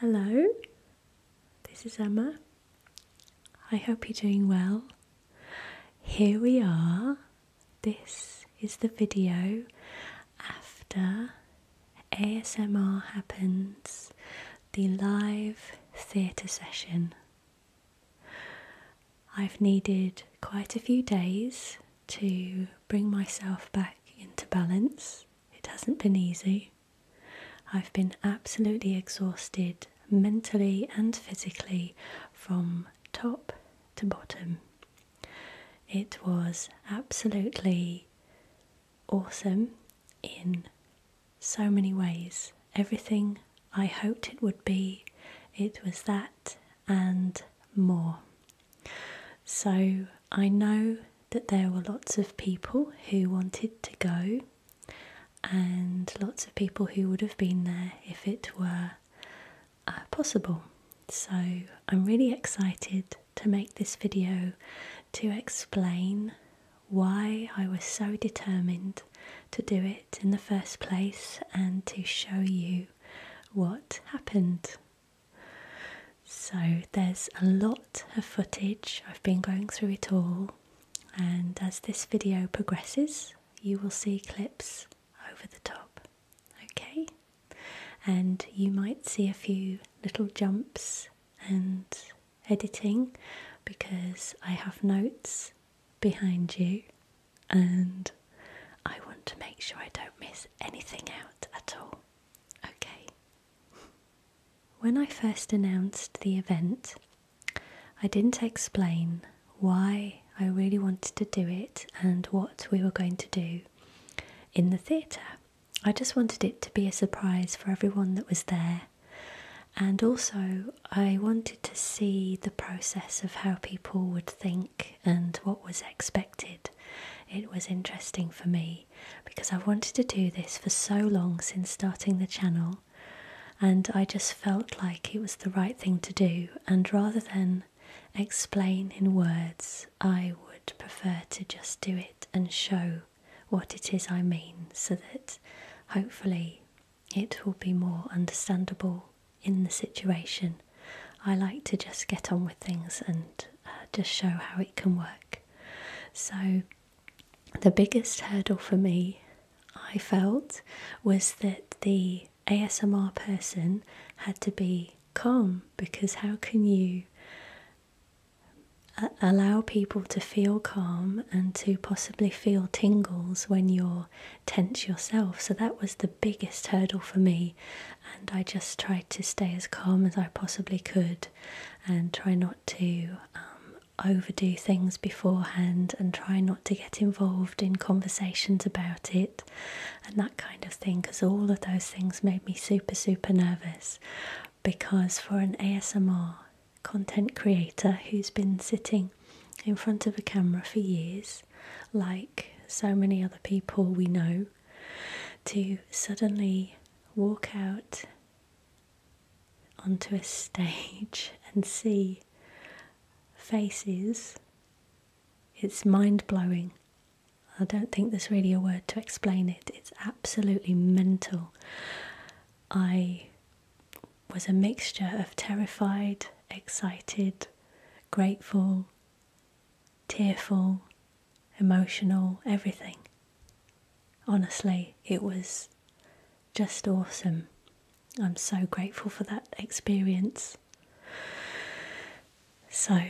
Hello, this is Emma. I hope you're doing well. Here we are. This is the video after ASMR happens, the live theatre session. I've needed quite a few days to bring myself back into balance it hasn't been easy. I've been absolutely exhausted mentally and physically from top to bottom. It was absolutely awesome in so many ways. Everything I hoped it would be, it was that and more. So I know that there were lots of people who wanted to go, and lots of people who would have been there if it were uh, possible. So I'm really excited to make this video to explain why I was so determined to do it in the first place and to show you what happened. So there's a lot of footage, I've been going through it all, and as this video progresses, you will see clips over the top, okay? And you might see a few little jumps and editing because I have notes behind you and I want to make sure I don't miss anything out at all. Okay, when I first announced the event, I didn't explain why I really wanted to do it and what we were going to do in the theatre. I just wanted it to be a surprise for everyone that was there, and also I wanted to see the process of how people would think and what was expected. It was interesting for me because I've wanted to do this for so long since starting the channel, and I just felt like it was the right thing to do. And rather than explain in words, I would prefer to just do it and show what it is I mean so that hopefully it will be more understandable in the situation. I like to just get on with things and uh, just show how it can work. So, the biggest hurdle for me, I felt, was that the ASMR person had to be calm because how can you uh, allow people to feel calm and to possibly feel tingles when you're tense yourself. So that was the biggest hurdle for me and I just tried to stay as calm as I possibly could and try not to um, overdo things beforehand and try not to get involved in conversations about it and that kind of thing because all of those things made me super, super nervous because for an ASMR content creator who's been sitting in front of a camera for years, like so many other people we know, to suddenly walk out onto a stage and see faces, it's mind blowing. I don't think there's really a word to explain it. It's absolutely mental. I was a mixture of terrified, excited, grateful, tearful, emotional, everything. Honestly, it was just awesome. I'm so grateful for that experience. So,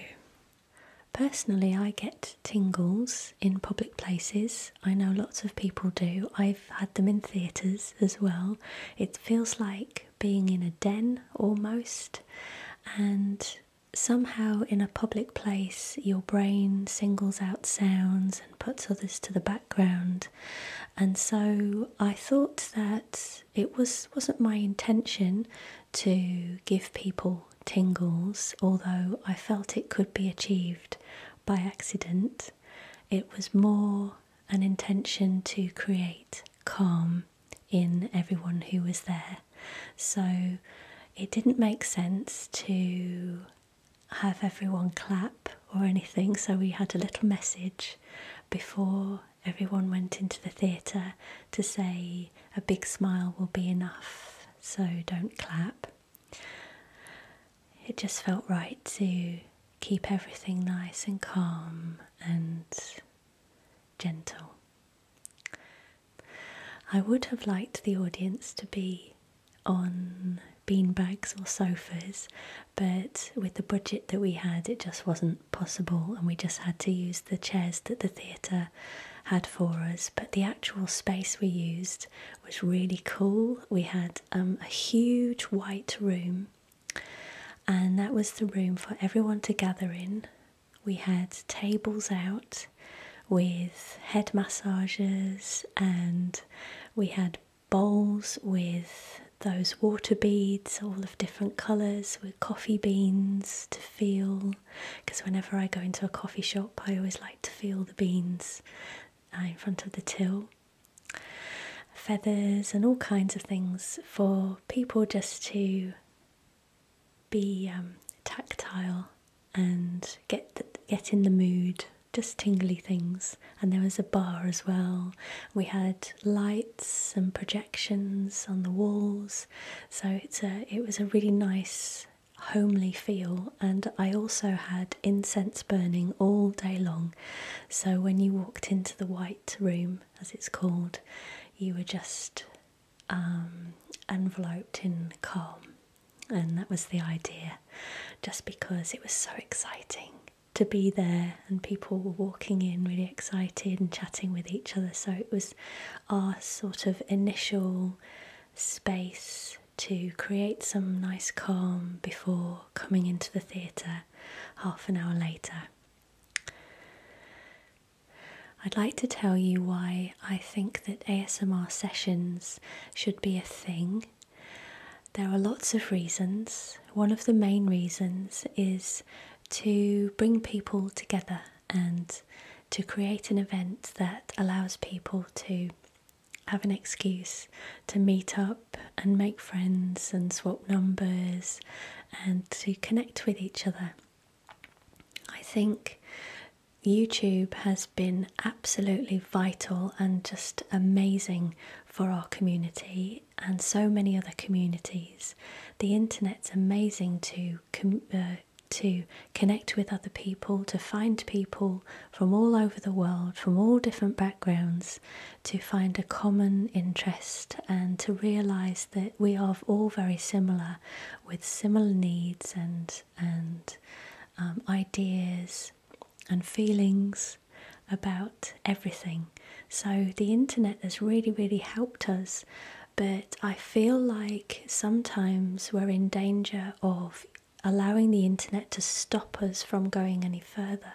personally, I get tingles in public places. I know lots of people do. I've had them in theatres as well. It feels like being in a den almost, and somehow in a public place your brain singles out sounds and puts others to the background and so i thought that it was wasn't my intention to give people tingles although i felt it could be achieved by accident it was more an intention to create calm in everyone who was there so it didn't make sense to have everyone clap or anything, so we had a little message before everyone went into the theatre to say a big smile will be enough, so don't clap. It just felt right to keep everything nice and calm and gentle. I would have liked the audience to be on beanbags or sofas, but with the budget that we had, it just wasn't possible, and we just had to use the chairs that the theatre had for us. But the actual space we used was really cool. We had um, a huge white room, and that was the room for everyone to gather in we had tables out with head massages and we had bowls with those water beads, all of different colours, with coffee beans to feel. Because whenever I go into a coffee shop, I always like to feel the beans uh, in front of the till. Feathers and all kinds of things for people just to be um, tactile and get get in the mood. Just tingly things, and there was a bar as well. We had lights and projections on the walls, so it's a it was a really nice homely feel and I also had incense burning all day long so when you walked into the white room as it's called you were just um, enveloped in calm. And that was the idea, just because it was so exciting to be there, and people were walking in really excited and chatting with each other. So it was our sort of initial space to create some nice calm before coming into the theatre half an hour later. I'd like to tell you why I think that ASMR sessions should be a thing. There are lots of reasons. One of the main reasons is to bring people together and to create an event that allows people to have an excuse to meet up and make friends and swap numbers and to connect with each other. I think YouTube has been absolutely vital and just amazing for our community and so many other communities. The internet's amazing to uh, to connect with other people, to find people from all over the world, from all different backgrounds, to find a common interest and to realize that we are all very similar with similar needs and and um, ideas and feelings about everything. So the internet has really really helped us, but I feel like sometimes we're in danger of allowing the internet to stop us from going any further.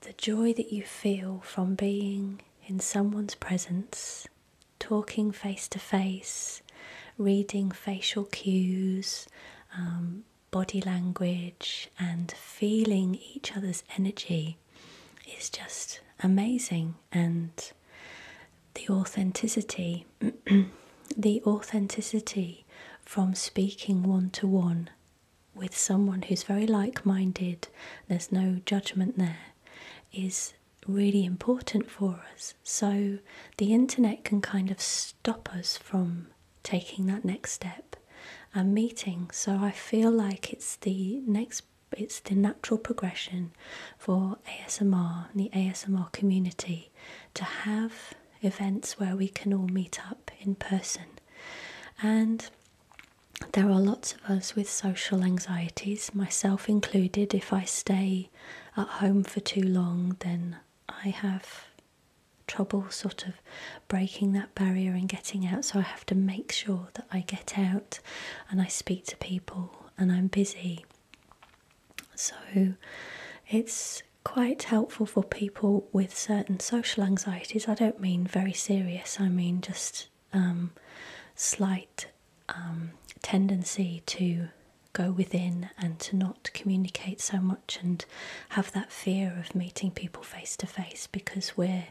The joy that you feel from being in someone's presence talking face to face, reading facial cues, um, body language, and feeling each other's energy is just amazing. And the authenticity, the authenticity from speaking one to one with someone who's very like minded, there's no judgment there, is really important for us. So the internet can kind of stop us from taking that next step and meeting. So I feel like it's the next it's the natural progression for ASMR and the ASMR community to have events where we can all meet up in person. And there are lots of us with social anxieties, myself included, if I stay at home for too long, then I have trouble sort of breaking that barrier and getting out. So I have to make sure that I get out and I speak to people and I'm busy. So it's quite helpful for people with certain social anxieties. I don't mean very serious, I mean just um, slight um, tendency to go within and to not communicate so much and have that fear of meeting people face to face because we're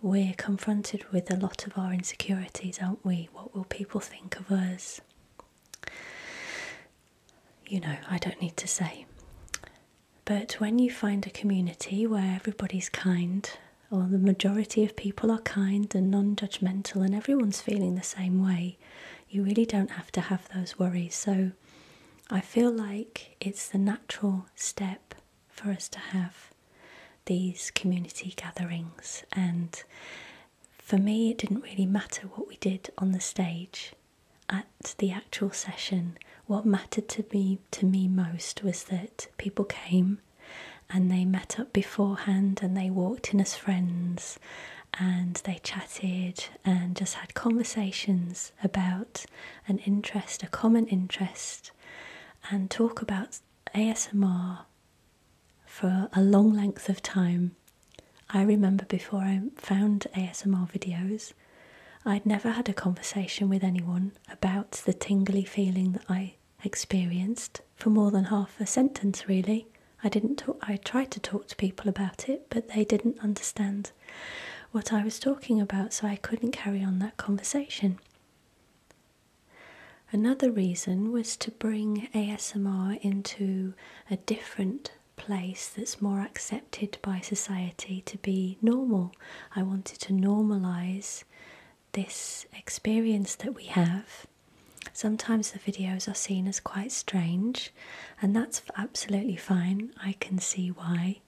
we're confronted with a lot of our insecurities, aren't we? What will people think of us? You know, I don't need to say. But when you find a community where everybody's kind or oh, the majority of people are kind and non judgmental, and everyone's feeling the same way, you really don't have to have those worries. So I feel like it's the natural step for us to have these community gatherings. And for me, it didn't really matter what we did on the stage at the actual session. What mattered to me to me most was that people came and they met up beforehand and they walked in as friends and they chatted and just had conversations about an interest, a common interest, and talk about ASMR for a long length of time. I remember before I found ASMR videos, I'd never had a conversation with anyone about the tingly feeling that I experienced for more than half a sentence really. I didn't talk, I tried to talk to people about it, but they didn't understand what I was talking about, so I couldn't carry on that conversation. Another reason was to bring ASMR into a different place that's more accepted by society to be normal. I wanted to normalize this experience that we have. Sometimes the videos are seen as quite strange, and that's absolutely fine. I can see why.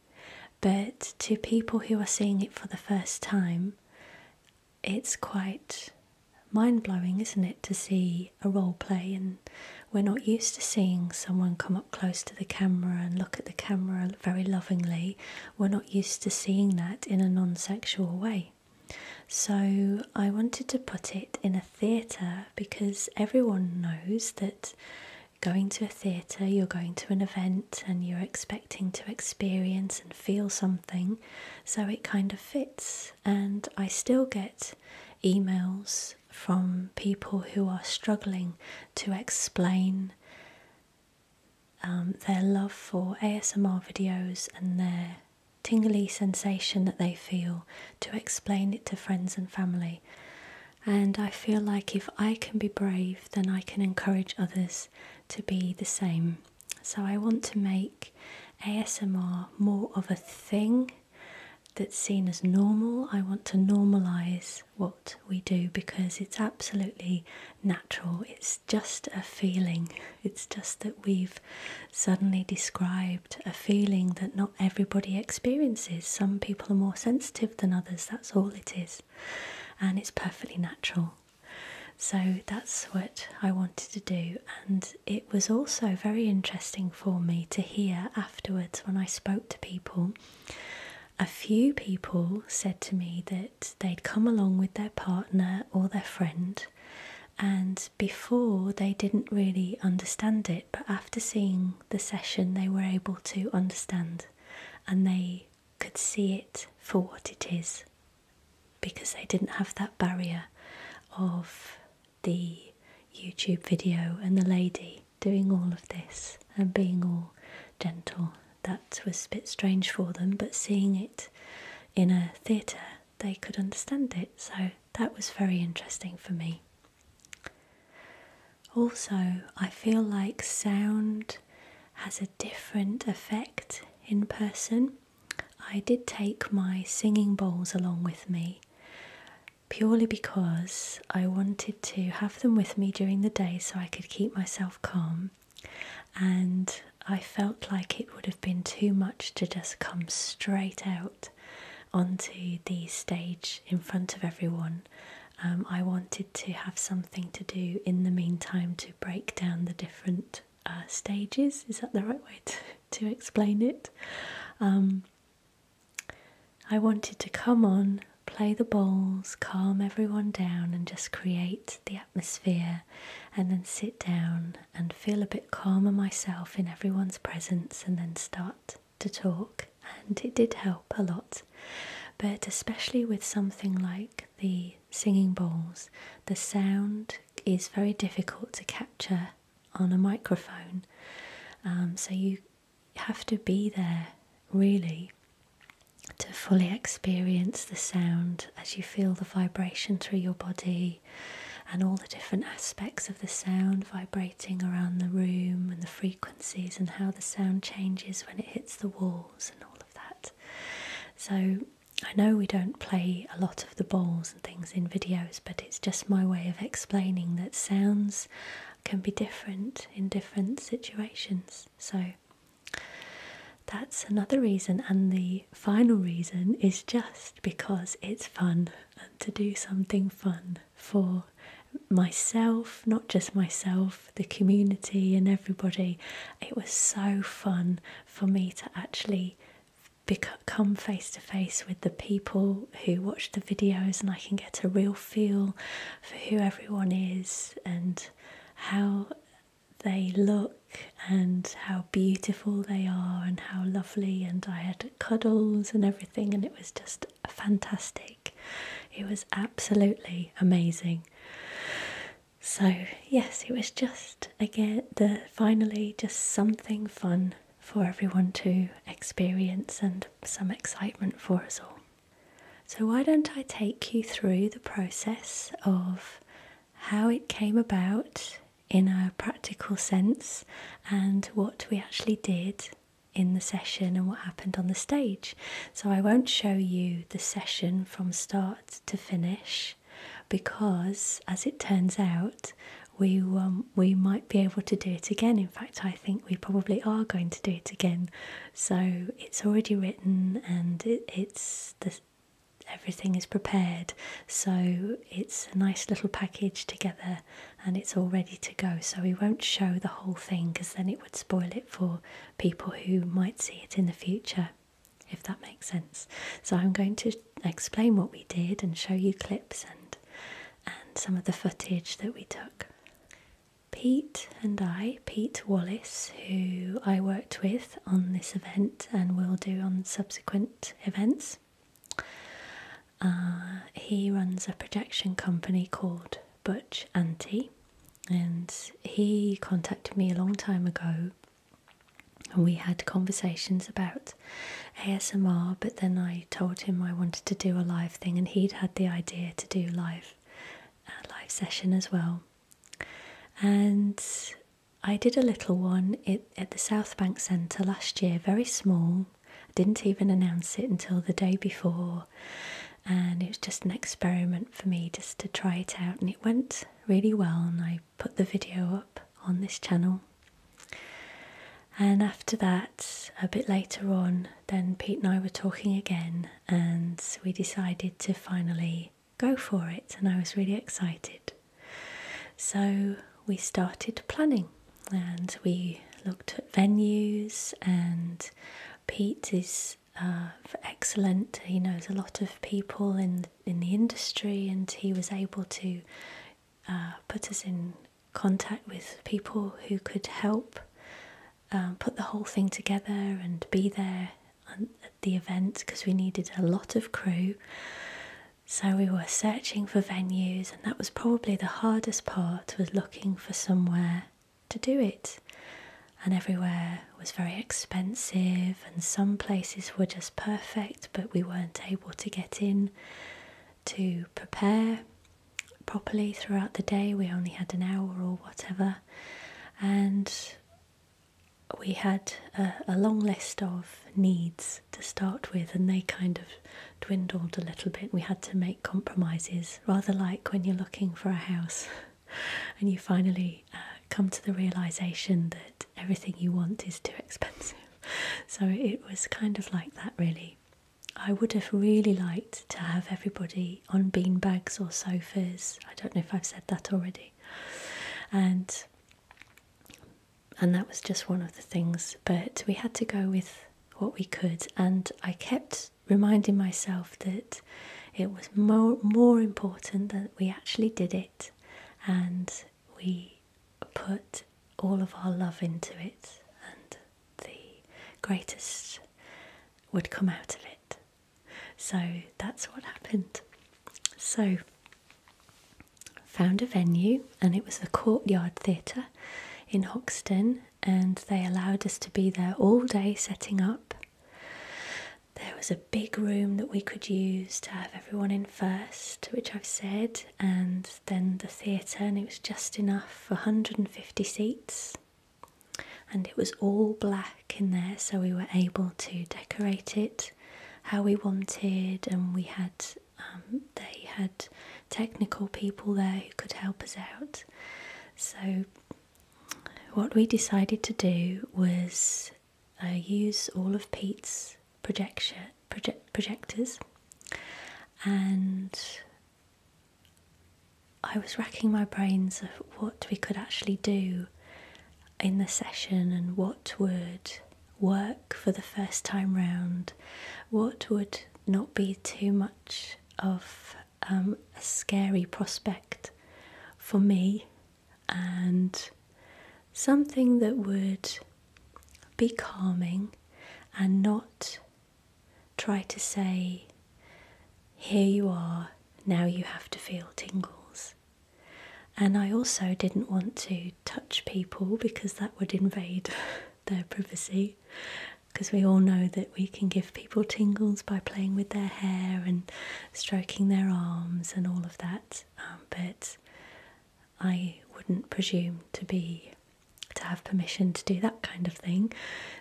But to people who are seeing it for the first time, it's quite mind blowing, isn't it, to see a role play? And we're not used to seeing someone come up close to the camera and look at the camera very lovingly. We're not used to seeing that in a non sexual way. So I wanted to put it in a theatre because everyone knows that going to a theatre, you're going to an event and you're expecting to experience and feel something. So it kind of fits. And I still get emails from people who are struggling to explain um, their love for ASMR videos and their tingly sensation that they feel to explain it to friends and family. And I feel like if I can be brave, then I can encourage others to be the same. So I want to make ASMR more of a thing that's seen as normal. I want to normalize what we do because it's absolutely natural. It's just a feeling. It's just that we've suddenly described a feeling that not everybody experiences. Some people are more sensitive than others. That's all it is. And it's perfectly natural. So that's what I wanted to do. And it was also very interesting for me to hear afterwards when I spoke to people. A few people said to me that they'd come along with their partner or their friend, and before they didn't really understand it, but after seeing the session, they were able to understand and they could see it for what it is because they didn't have that barrier of the YouTube video and the lady doing all of this and being all gentle. That was a bit strange for them, but seeing it in a theatre, they could understand it. So that was very interesting for me. Also, I feel like sound has a different effect in person. I did take my singing bowls along with me purely because I wanted to have them with me during the day so I could keep myself calm and I felt like it would have been too much to just come straight out onto the stage in front of everyone. Um, I wanted to have something to do in the meantime to break down the different uh, stages. Is that the right way to, explain it? Um, I wanted to come on, play the balls, calm everyone down, and just create the atmosphere and then sit down and feel a bit calmer myself in everyone's presence and then start to talk. And it did help a lot. But especially with something like the singing bowls, the sound is very difficult to capture on a microphone. Um, so you have to be there really to fully experience the sound as you feel the vibration through your body and all the different aspects of the sound vibrating around the room and the frequencies and how the sound changes when it hits the walls and all of that. So, I know we don't play a lot of the balls and things in videos, but it's just my way of explaining that sounds can be different in different situations. So, that's another reason, and the final reason is just because it's fun to do something fun for myself, not just myself, the community, and everybody. It was so fun for me to actually become face to face with the people who watch the videos and I can get a real feel for who everyone is and how they look and how beautiful they are and how lovely and I had cuddles and everything and it was just fantastic. It was absolutely amazing. So yes, it was just again the finally just something fun for everyone to experience and some excitement for us all. So why don't I take you through the process of how it came about in a practical sense and what we actually did in the session and what happened on the stage. So I won't show you the session from start to finish because as it turns out we um, we might be able to do it again. In fact, I think we probably are going to do it again. So it's already written and it, it's the everything is prepared so it's a nice little package together and it's all ready to go so we won't show the whole thing because then it would spoil it for people who might see it in the future if that makes sense so i'm going to explain what we did and show you clips and and some of the footage that we took Pete and I, Pete Wallace, who I work with on this event and will do on subsequent events. Uh, he runs a projection company called Butch Anti, and he contacted me a long time ago. And we had conversations about ASMR, but then I told him I wanted to do a live thing, and he'd had the idea to do live, a uh, live session as well. And I did a little one it, at the South Bank Centre last year, very small. didn't even announce it until the day before, and it was just an experiment for me just to try it out, and it went really well. And I put the video up on this channel. And after that, a bit later on, then Pete and I were talking again, and we decided to finally go for it. And I was really excited. So we started planning and we looked at venues, and Pete is. Uh, excellent. He knows a lot of people in in the industry, and he was able to uh, put us in contact with people who could help uh, put the whole thing together and be there at the event because we needed a lot of crew. So we were searching for venues, and that was probably the hardest part was looking for somewhere to do it. And everywhere was very expensive, and some places were just perfect, but we weren't able to get in to prepare properly throughout the day. We only had an hour or whatever, and we had a, long list of needs to start with, and they kind of dwindled a little bit. We had to make compromises, rather like when you're looking for a house and you finally uh, come to the realization that everything you want is too expensive. So it was kind of like that, really. I would have really liked to have everybody on beanbags or sofas. I don't know if I've said that already. And and that was just one of the things. But we had to go with what we could, and I kept reminding myself that it was more, more important that we actually did it and we put all of our love into it, and the greatest would come out of it. So that's what happened. So found a venue and it was the Courtyard Theatre in Hoxton and they allowed us to be there all day setting up. There was a big room that we could use to have everyone in first, which I've said, and then the theatre, and it was just enough for 150 seats. And it was all black in there, so we were able to decorate it how we wanted, and we had um, they had technical people there who could help us out. So, what we decided to do was uh, use all of Pete's projection project, projectors, and I was racking my brains of what we could actually do in the session and what would work for the first time round, what would not be too much of um, a scary prospect for me, and something that would be calming and not try to say, Here you are, now you have to feel tingles. And I also didn't want to touch people because that would invade their privacy. Because we all know that we can give people tingles by playing with their hair and stroking their arms and all of that. Um, but I wouldn't presume to be to have permission to do that kind of thing.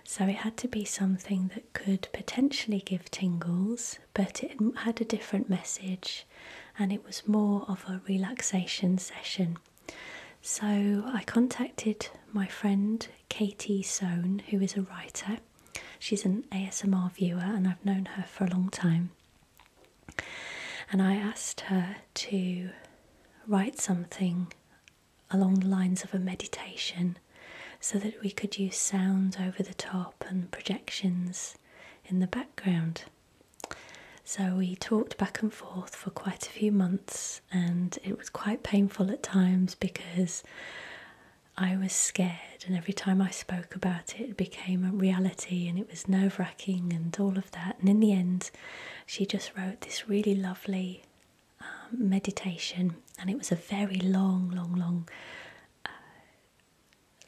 So it had to be something that could potentially give tingles but it had a different message and it was more of a relaxation session. So I contacted my friend Katie Soane, who is a writer. She's an ASMR viewer and I've known her for a long time. And I asked her to write something along the lines of a meditation so that we could use sounds over the top and projections in the background. So we talked back and forth for quite a few months, and it was quite painful at times because I was scared, and every time I spoke about it, it became a reality and it was nerve wracking and all of that. And in the end, she just wrote this really lovely um, meditation, and it was a very long, long, long. Uh,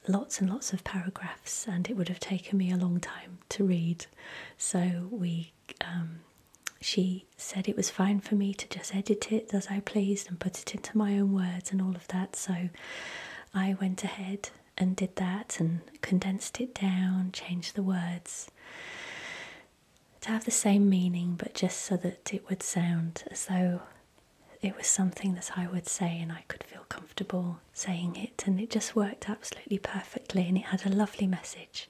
lots and lots of paragraphs, and it would have taken me a long time to read. So we, um, she said it was fine for me to just edit it as I pleased and put it into my own words and all of that. So I went ahead and did that and condensed it down, changed the words to have the same meaning, but just so that it would sound as though it was something that I would say, and I could feel comfortable saying it, and it just worked absolutely perfectly, and it had a lovely message.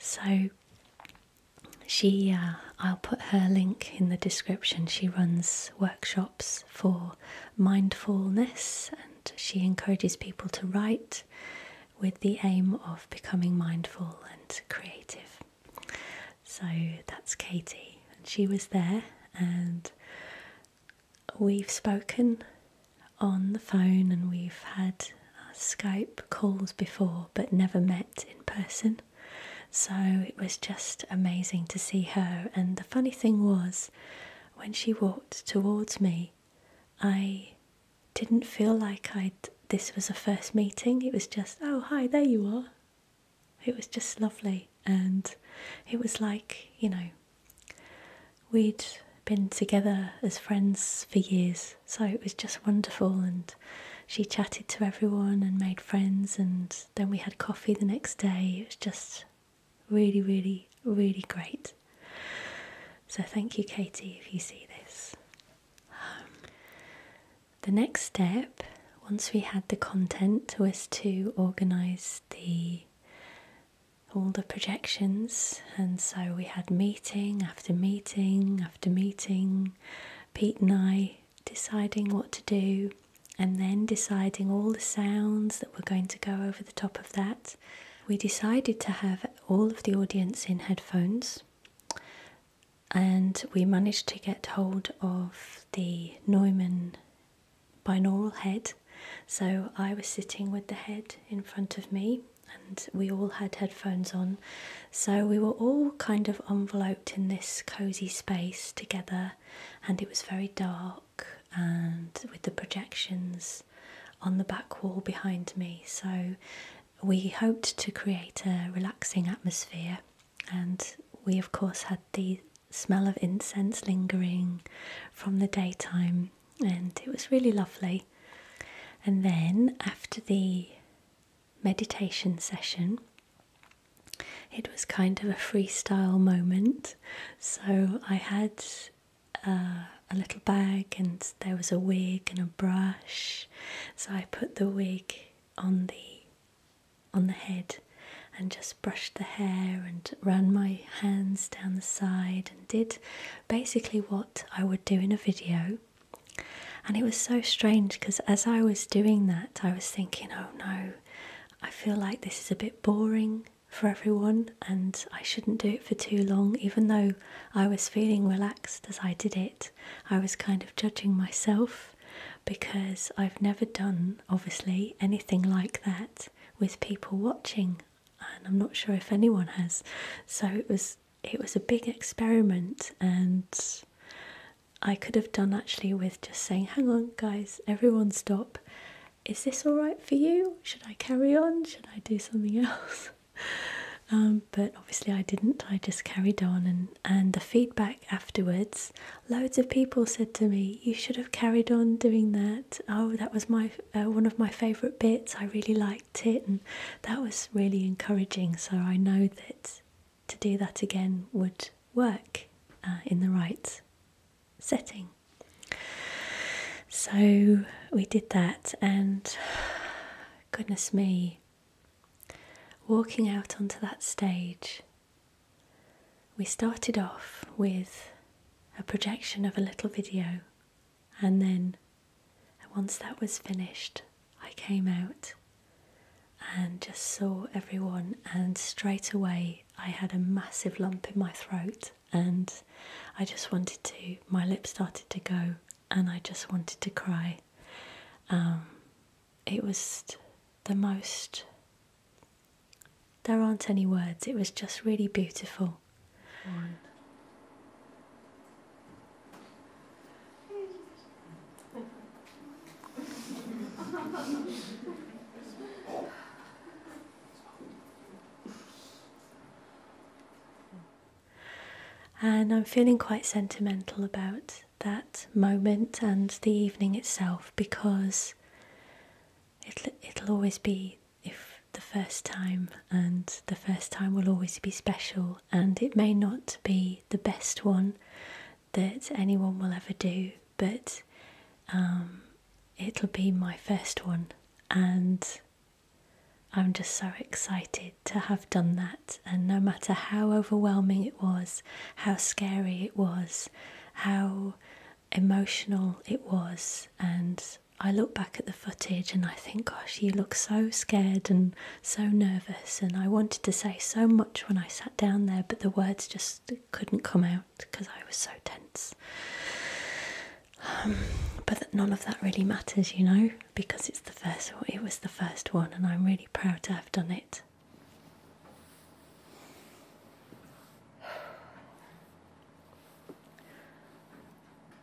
So, she, uh, I'll put her link in the description. She runs workshops for mindfulness, and she encourages people to write with the aim of becoming mindful and creative. So that's Katie, she was there, and we've spoken on the phone and we've had uh, Skype calls before, but never met in person. So it was just amazing to see her. And the funny thing was, when she walked towards me, I didn't feel like I'd. This was a first meeting. It was just, oh, hi, there you are. It was just lovely, and it was like, you know, we'd been together as friends for years, so it was just wonderful. And she chatted to everyone and made friends, and then we had coffee the next day. It was just really, really, really great. So, thank you, Katie, if you see this. Um, the next step, once we had the content, was to organise the all the projections, and so we had meeting after meeting after meeting, Pete and I deciding what to do, and then deciding all the sounds that were going to go over the top of that. We decided to have all of the audience in headphones, and we managed to get hold of the Neumann binaural head. So I was sitting with the head in front of me, and we all had headphones on. So we were all kind of enveloped in this cozy space together, and it was very dark and with the projections on the back wall behind me. So we hoped to create a relaxing atmosphere, and we, of course, had the smell of incense lingering from the daytime, and it was really lovely. And then after the meditation session, it was kind of a freestyle moment. So I had uh, a little bag, and there was a wig and a brush. So I put the wig on the on the head and just brushed the hair and ran my hands down the side and did basically what I would do in a video. And it was so strange because as I was doing that, I was thinking, oh no, I feel like this is a bit boring for everyone and I shouldn't do it for too long. Even though I was feeling relaxed as I did it, I was kind of judging myself because I've never done, obviously, anything like that with people watching, and I'm not sure if anyone has. So it was it was a big experiment, and I could have done actually with just saying, "Hang on, guys, everyone, stop." Is this all right for you? Should I carry on? Should I do something else? Um, but obviously I didn't. I just carried on, and and the feedback afterwards, Loads of people said to me, "You should have carried on doing that. Oh, that was my uh, one of my favourite bits. I really liked it, and that was really encouraging. So I know that to do that again would work uh, in the right setting." So we did that, and goodness me, walking out onto that stage we started off with a projection of a little video, and then once that was finished, I came out and just saw everyone, and straight away I had a massive lump in my throat, and I just wanted to, my lips started to go, and I just wanted to cry. Um, it was the most. There aren't any words, it was just really beautiful. and I'm feeling quite sentimental about that moment and the evening itself because it'll, it'll always be if the first time and the first time will always be special and it may not be the best one that anyone will ever do but um, it'll be my first one and I'm just so excited to have done that. And no matter how overwhelming it was, how scary it was, how emotional it was. And I look back at the footage and I think, gosh, you look so scared and so nervous. And I wanted to say so much when I sat down there, but the words just couldn't come out because I was so tense. Um, but none of that really matters, you know, because it's the first. It was the first one, and I'm really proud to have done it.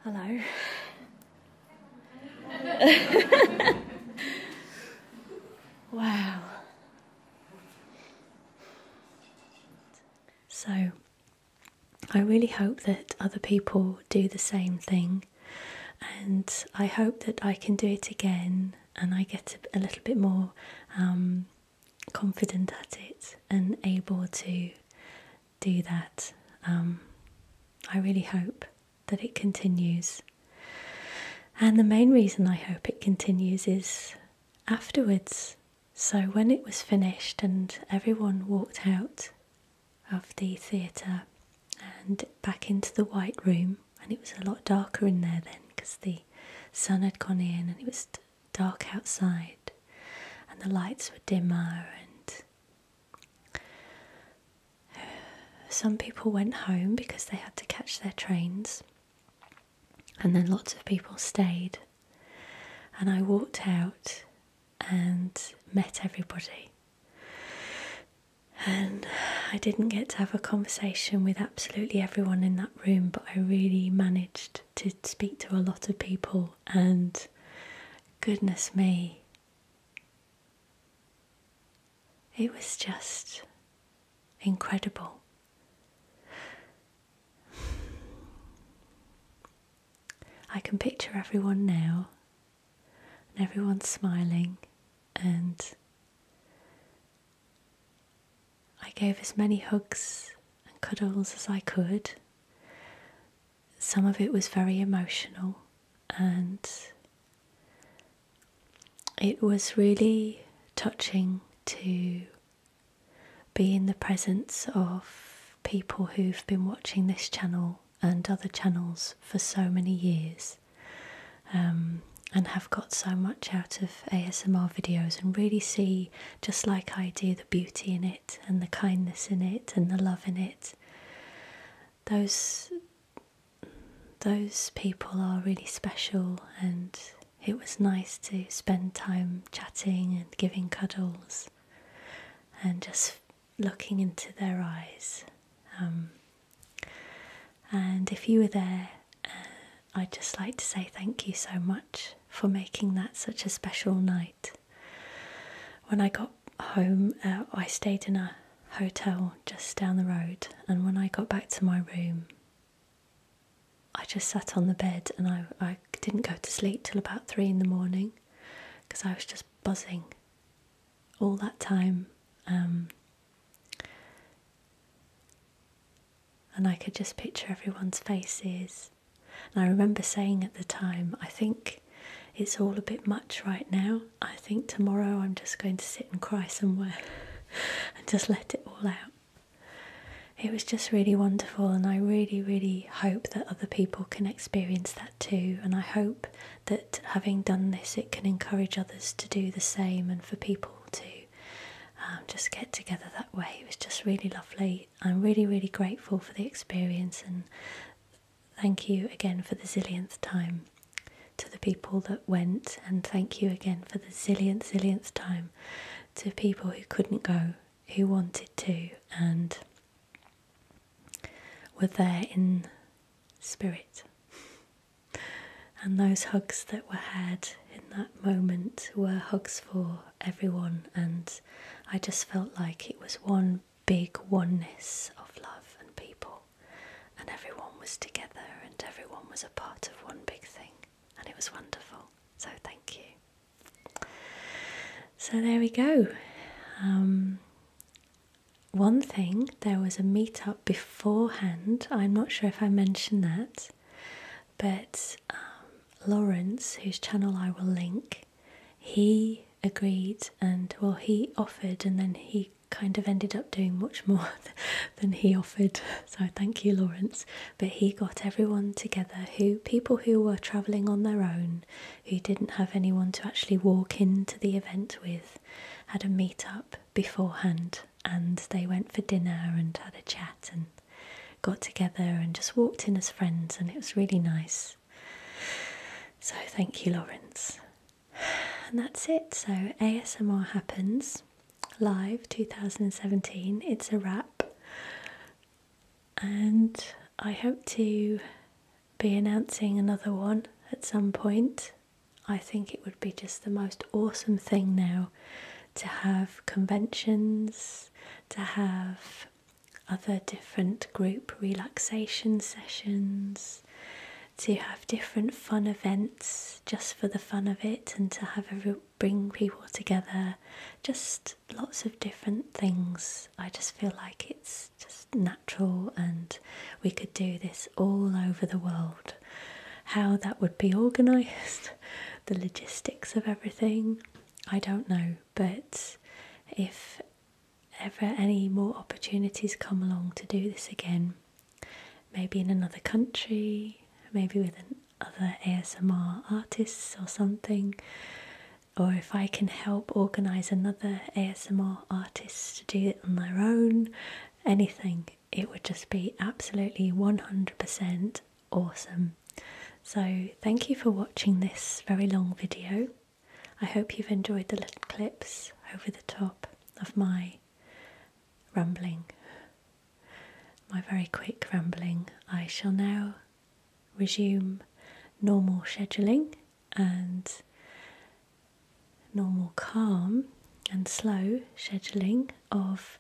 Hello. wow. So, I really hope that other people do the same thing, and I hope that I can do it again and I get a, little bit more um, confident at it and able to do that. Um, I really hope that it continues. And the main reason I hope it continues is afterwards. So, when it was finished and everyone walked out of the theatre and back into the White Room, and it was a lot darker in there then because the sun had gone in and it was dark outside, and the lights were dimmer. And some people went home because they had to catch their trains, and then lots of people stayed. And I walked out and met everybody. And I didn't get to have a conversation with absolutely everyone in that room, but I really managed to speak to a lot of people, and goodness me, it was just incredible. I can picture everyone now, and everyone smiling, and I gave as many hugs and cuddles as I could. Some of it was very emotional, and it was really touching to be in the presence of people who've been watching this channel and other channels for so many years um, and have got so much out of ASMR videos and really see, just like I do, the beauty in it and the kindness in it and the love in it. Those those people are really special and it was nice to spend time chatting and giving cuddles and just looking into their eyes. Um, and if you were there, uh, I'd just like to say thank you so much for making that such a special night. When I got home, uh, I stayed in a hotel just down the road, and when I got back to my room, I just sat on the bed and I, I didn't go to sleep till about three in the morning because I was just buzzing all that time. Um, and I could just picture everyone's faces. And I remember saying at the time, I think it's all a bit much right now. I think tomorrow I'm just going to sit and cry somewhere and just let it all out. It was just really wonderful, and I really, really hope that other people can experience that too. And I hope that having done this, it can encourage others to do the same and for people to um, just get together that way. It was just really lovely. I'm really, really grateful for the experience and thank you again for the zillionth time to the people that went, and thank you again for the zillionth, zillionth time to people who couldn't go, who wanted to, and were there in spirit. And those hugs that were had in that moment were hugs for everyone, and I just felt like it was one big oneness of love and people, and everyone was together and everyone was a part of one big thing, and it was wonderful. So, thank you. So, there we go. Um, one thing, there was a meetup beforehand. I'm not sure if I mentioned that, but um, Lawrence, whose channel I will link, he agreed and well, he offered, and then he kind of ended up doing much more than he offered. So thank you, Lawrence. But he got everyone together who people who were traveling on their own, who didn't have anyone to actually walk into the event with, had a meet up beforehand and they went for dinner and had a chat and got together and just walked in as friends and it was really nice. So thank you, Lawrence. And that's it. So ASMR happens live 2017. It's a wrap. And I hope to be announcing another one at some point. I think it would be just the most awesome thing now to have conventions, to have other different group relaxation sessions, to have different fun events just for the fun of it, and to have bring people together. Just lots of different things. I just feel like it's just natural, and we could do this all over the world how that would be organised, the logistics of everything. I don't know, but if ever any more opportunities come along to do this again, maybe in another country, maybe with an other ASMR artists or something, or if I can help organise another ASMR artist to do it on their own, anything it would just be absolutely 100% awesome. So, thank you for watching this very long video. I hope you've enjoyed the little clips over the top of my rambling, my very quick rambling. I shall now resume normal scheduling and normal calm and slow scheduling of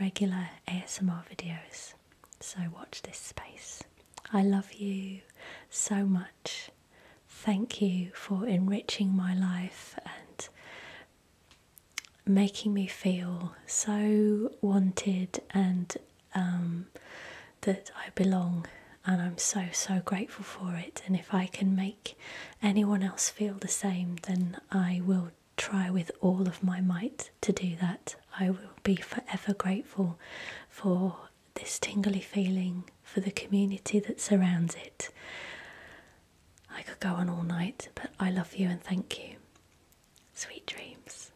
regular ASMR videos. So, watch this space. I love you so much. Thank you for enriching my life and making me feel so wanted and um, that I belong. And I'm so, so grateful for it. And if I can make anyone else feel the same, then I will try with all of my might to do that. I will be forever grateful for this tingly feeling, for the community that surrounds it. I could go on all night, but I love you and thank you. Sweet dreams.